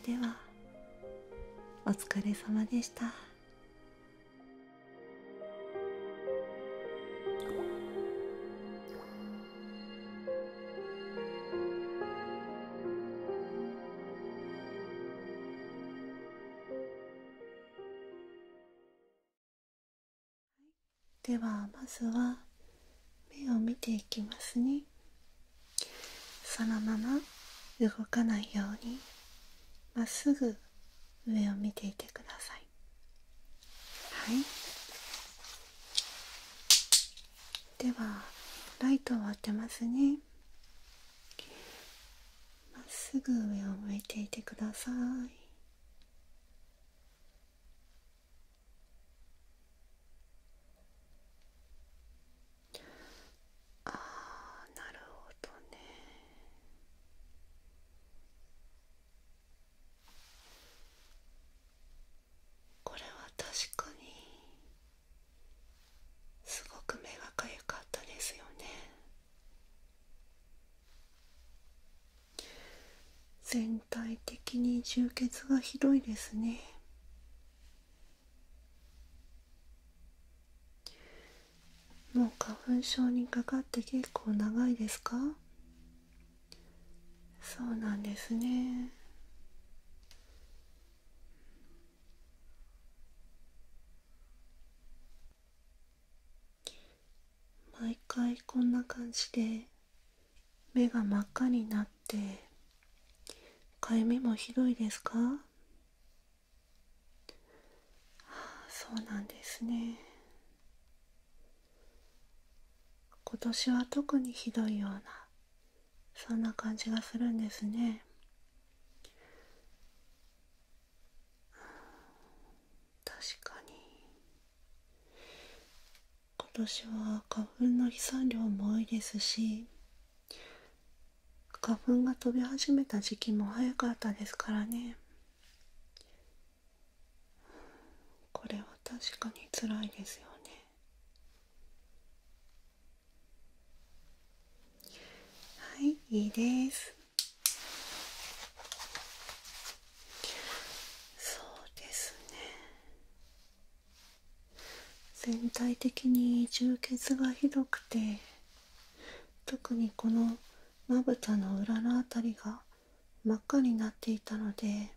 それではお疲れ様でした。ではまずは目を見ていきますねそのまま動かないようにまっすぐ上を見ていてくださいはいではライトを当てますねまっすぐ上を向いていてくださいああなるほどねこれは確かにすごく目がかゆかったですよね全体的に充血がひどいですねもう花粉症にかかって結構長いですかそうなんですね毎回こんな感じで目が真っ赤になってかゆみもひどいですかあそうなんですね今年は特にひどいようなそんな感じがするんですね確かに今年は花粉の飛散量も多いですし花粉が飛び始めた時期も早かったですからねこれは確かにつらいですよねはいいいですそうですね全体的に充血がひどくて特にこのまぶたの裏の辺りが真っ赤になっていたので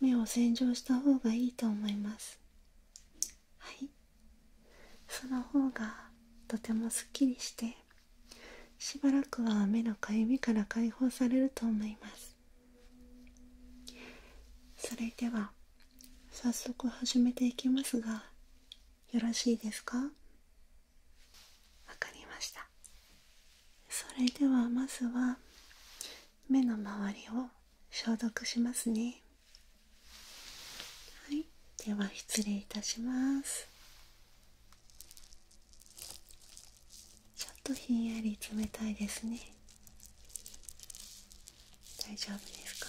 目を洗浄した方がいいと思いますはいその方がとてもすっきりしてしばらくは目のかゆみから解放されると思いますそれでは早速始めていきますがよろしいですかわかりましたそれではまずは目の周りを消毒しますねはいでは失礼いたしますちょっとひんやり冷たいですね大丈夫ですか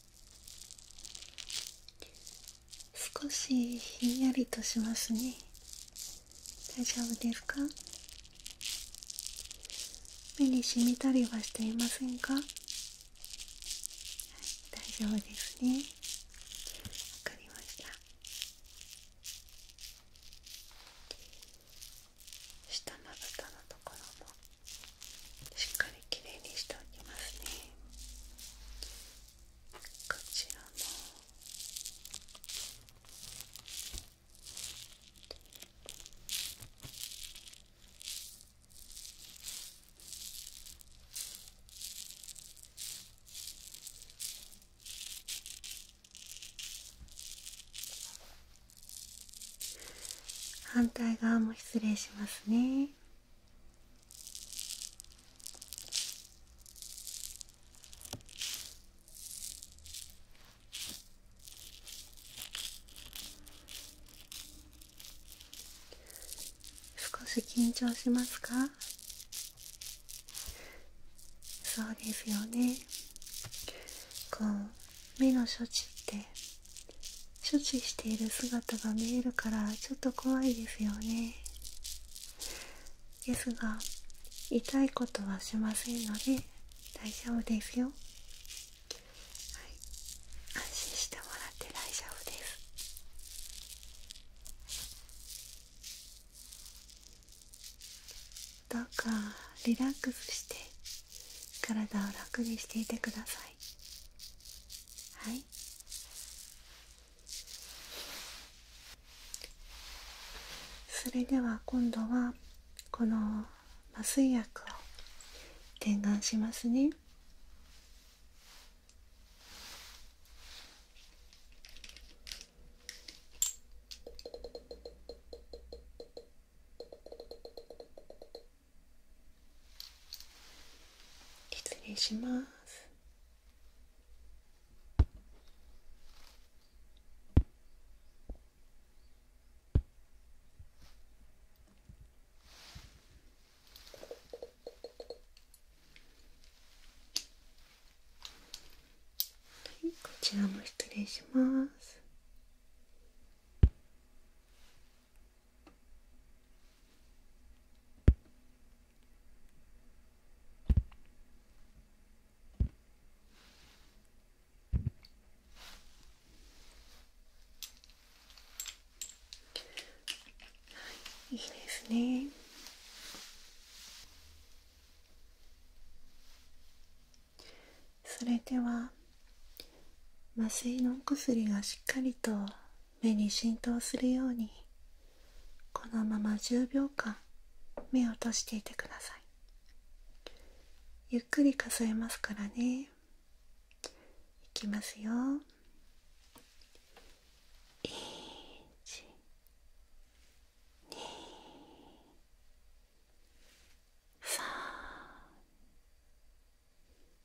少しひんやりとしますね大丈夫ですか目にしみたりはしていませんか、はい、大丈夫ですねわかりました下まぶたのところもしっかりきれいにしておきますねこちらの反対側も失礼しますね。少し緊張しますかそうですよねこう目の処置って処置している姿が見えるからちょっと怖いですよねですが痛いことはしませんので大丈夫ですよはい安心してもらって大丈夫ですどうかリラックスして体を楽にしていてくださいはいそれでは今度はこの麻酔薬を点眼しますね失礼しますこちらも失礼しますいいですねそれでは麻酔のお薬がしっかりと目に浸透するようにこのまま10秒間目を閉じていてくださいゆっくり数えますからねいきますよ1 2 3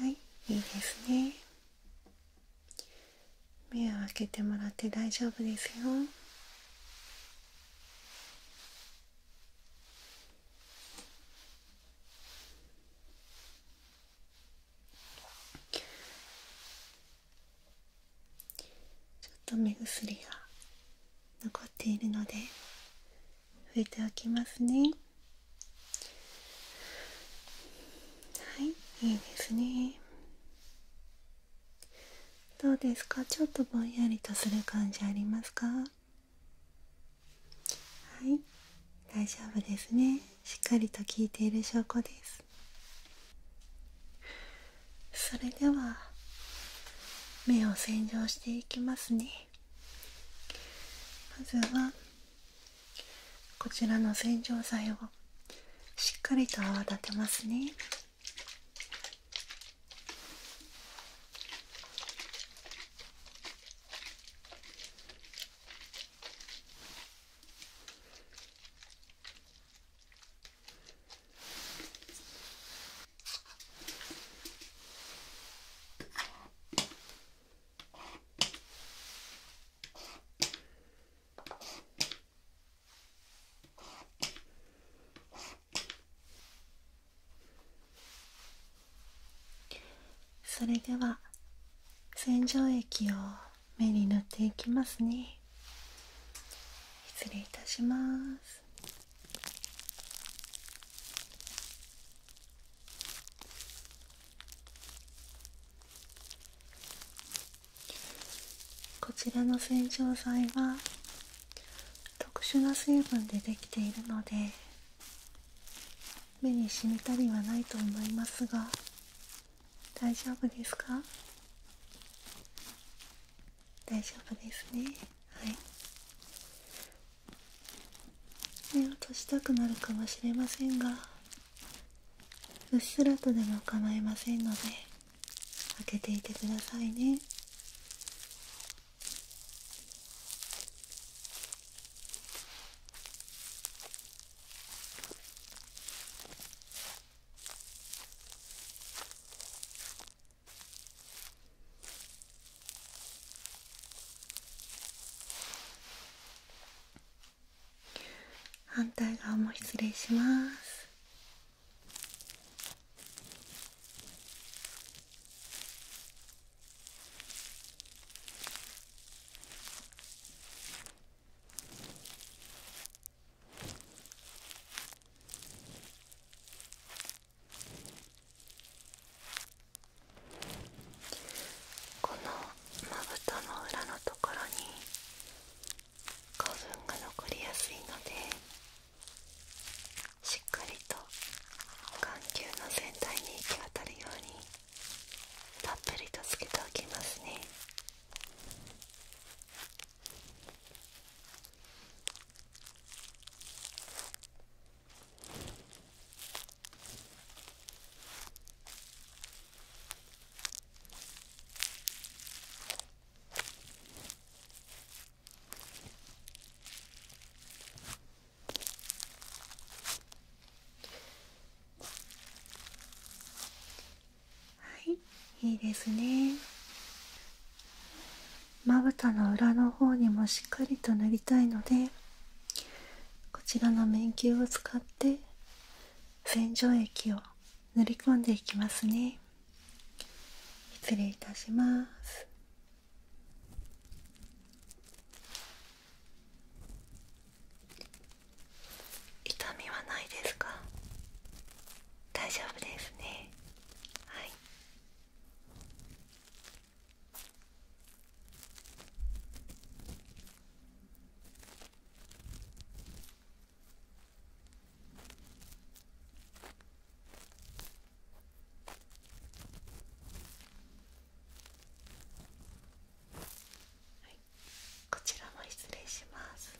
はいいいですね目を開けてもらって大丈夫ですよちょっと目薬が残っているので拭いておきますねはいいいですねどうですかちょっとぼんやりとする感じありますかはい大丈夫ですねしっかりと効いている証拠ですそれでは目を洗浄していきますねまずはこちらの洗浄剤をしっかりと泡立てますねそれでは洗浄液を目に塗っていきますね失礼いたしますこちらの洗浄剤は特殊な水分でできているので目に染みたりはないと思いますが大丈夫ですか大丈夫ですねはい目を閉じたくなるかもしれませんがうっすらとでも構いませんので開けていてくださいね反対側も失礼しますこのまぶたの裏のところに花粉が残りやすいのでしっかりと眼球の全体に行き渡るようにたっぷりとつけておきますねはいいいですねまぶたの裏の方にもしっかりと塗りたいのでこちらの面球を使って洗浄液を塗り込んでいきますね失礼いたします痛みはないですか大丈夫ですねはいはい、こちらも失礼します。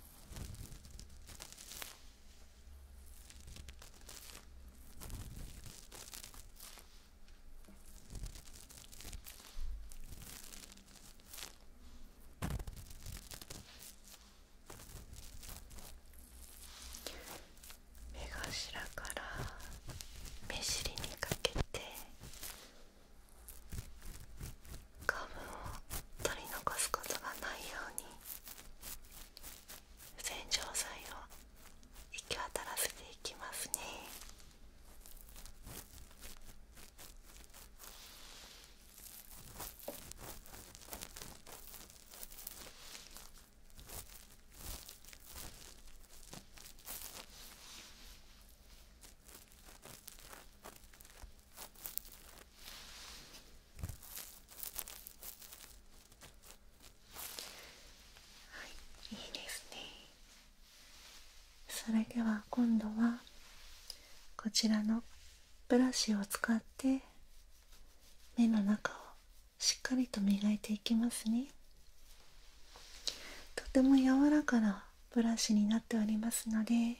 目頭から目尻にかけて花粉を取り残すことがないように洗浄剤を行きたらせていきますね。いいですねそれでは今度はこちらのブラシを使って目の中をしっかりと磨いていきますねとても柔らかなブラシになっておりますので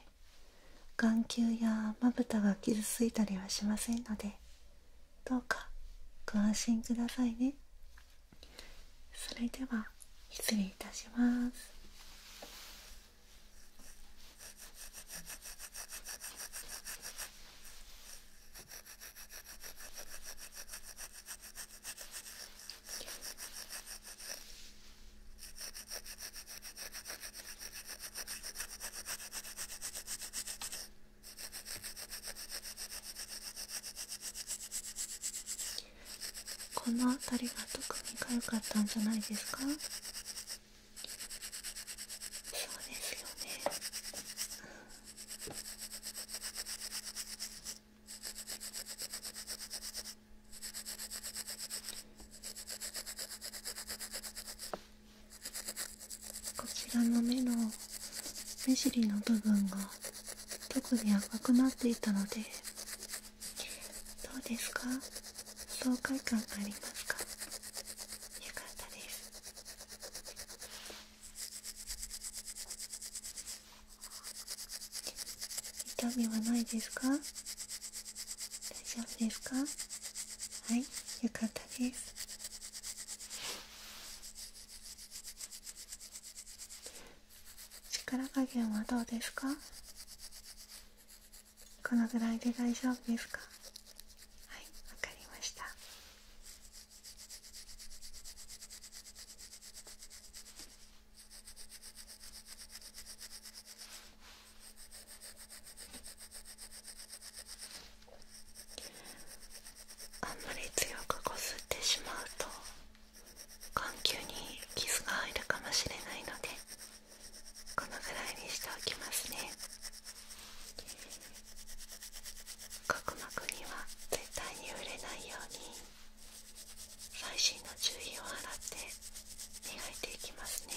眼球やまぶたが傷ついたりはしませんのでどうかご安心くださいねそれでは失礼いたしますこの辺りが特にかゆかったんじゃないですかそうですよねうん。こちらの目の目尻の部分が特に赤くなっていたのでどうですか爽快感ありますかよかったです痛みはないですか大丈夫ですかはいよかったです力加減はどうですかこのぐらいで大丈夫ですかはい、わかりましたあんまり強くこすってしまうと眼球に傷が入るかもしれないのでこのぐらいにしておきますね角膜には絶対に触れないように細心の注意を払って磨いていきますね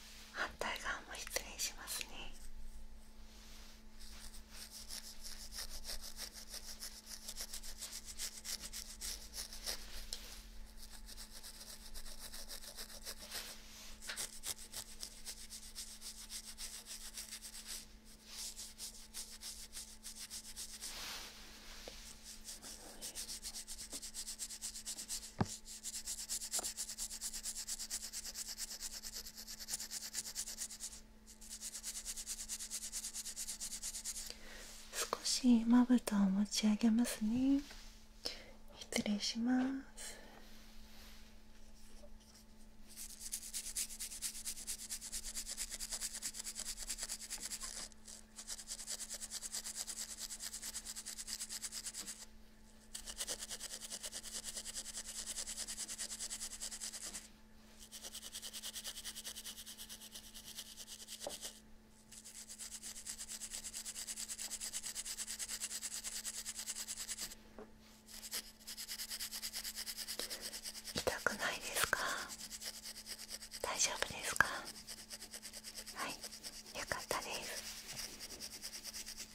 反対側も失礼しますね少しまぶたを持ち上げますね失礼します痛くないですか大丈夫ですかはいよかったです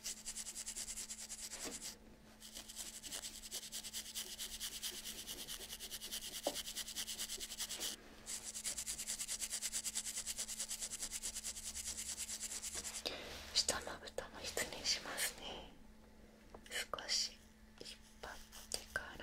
下まぶたも失礼しますね少し引っ張ってから。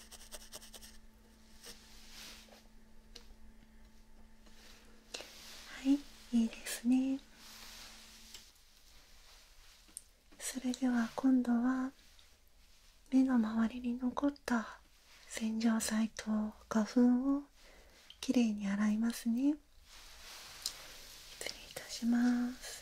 はいいいですねそれでは今度は目の周りに残った洗浄剤と花粉をきれいに洗いますね失礼いたします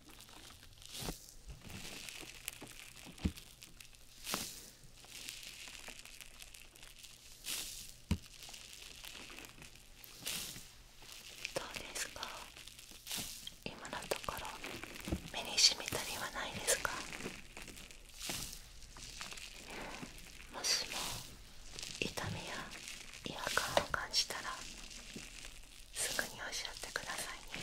どうですか今のところ目にしみたりはないですか、もしも痛みや違和感を感じたらすぐにおっしゃってくださいね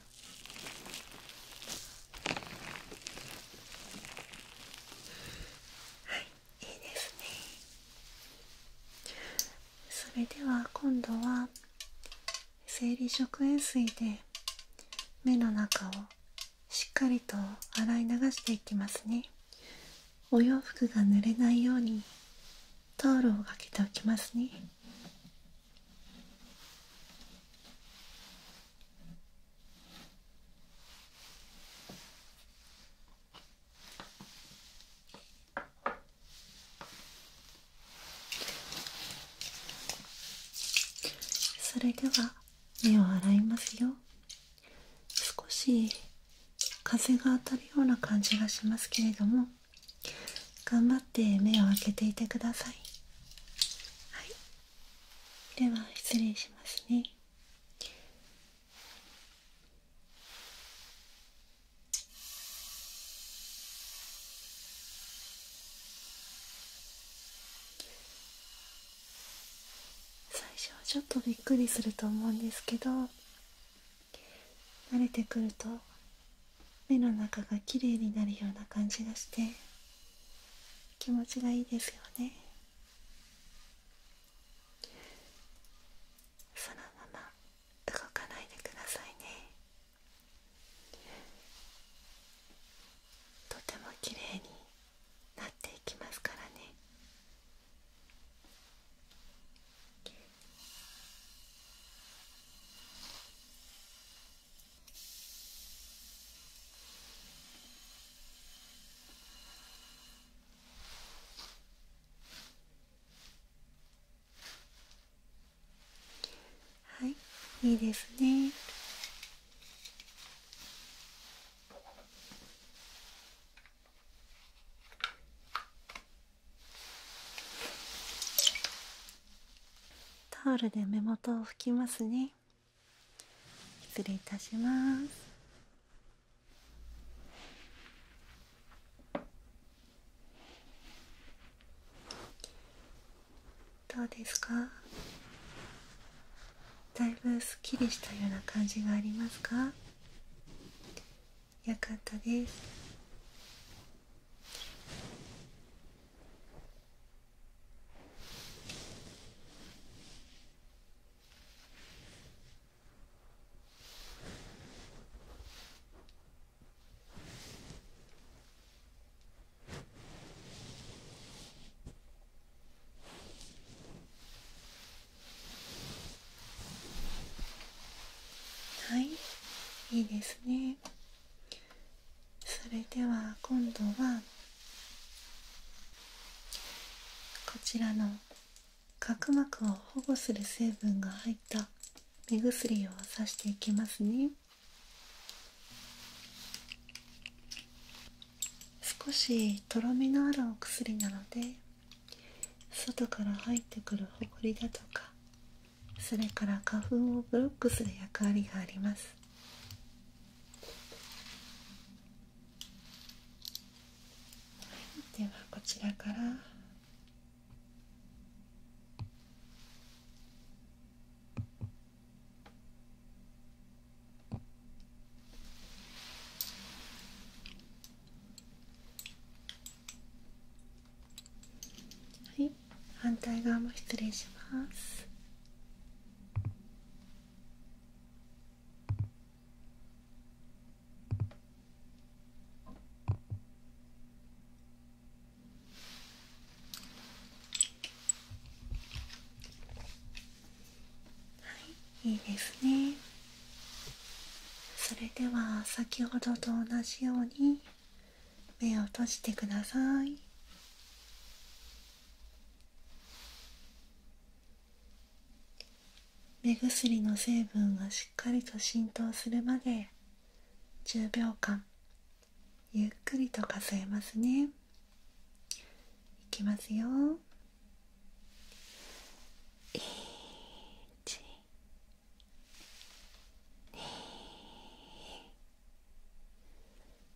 はい、いいですねそれでは今度は生理食塩水で目の中をしっかりと洗い流していきますねお洋服が濡れないようにタオルをかけておきますねそれでは目を洗いますよ少し風が当たるような感じがしますけれども頑張って目を開けていてくださいはいでは失礼しますね最初はちょっとびっくりすると思うんですけど慣れてくると目の中がきれいになるような感じがして気持ちがいいですよねそのまま動かないでくださいねとても綺麗になっていきますからねはいいいですねタオルで目元を拭きますね失礼いたしますどうですかだいぶすっきりしたような感じがありますかよかったですはいいいですねそれでは今度はこちらの角膜を保護する成分が入った目薬をさしていきますね少しとろみのあるお薬なので外から入ってくるほこりだとかそれから花粉をブロックする役割がありますではこちらからはい反対側も失礼しますはいいいですねそれでは先ほどと同じように目を閉じてください目薬の成分がしっかりと浸透するまで10秒間ゆっくりと数えますねいきますよ1 2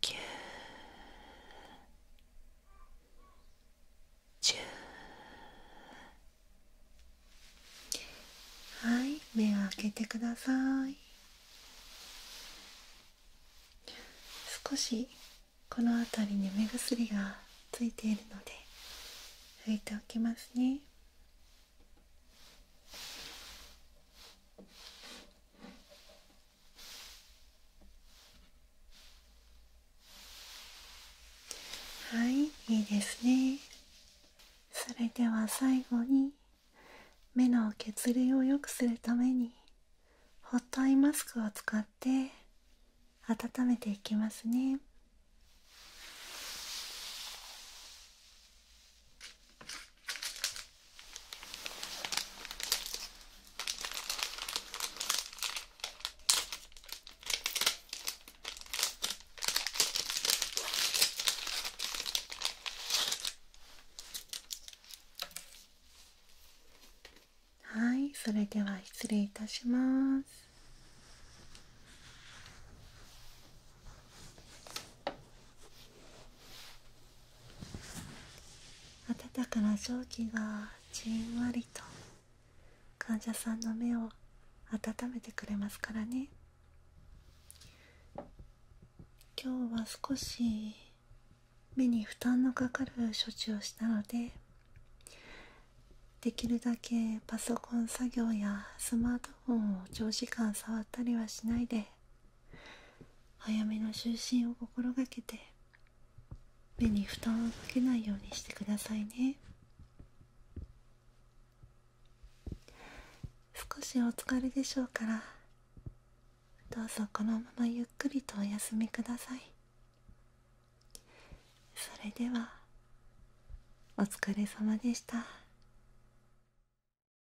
九十はい目を開けてください少しこの辺りに目薬がついているので拭いておきますねはいいいですねそれでは最後に目の血流を良くするためにホットアイマスクを使って温めていきますねはいそれでは失礼いたします温かな蒸気がじんわりと患者さんの目を温めてくれますからね今日は少し目に負担のかかる処置をしたのでできるだけパソコン作業やスマートフォンを長時間触ったりはしないで早めの就寝を心がけて目に負担をかけないようにしてくださいね少しお疲れでしょうからどうぞこのままゆっくりとお休みくださいそれではお疲れ様でした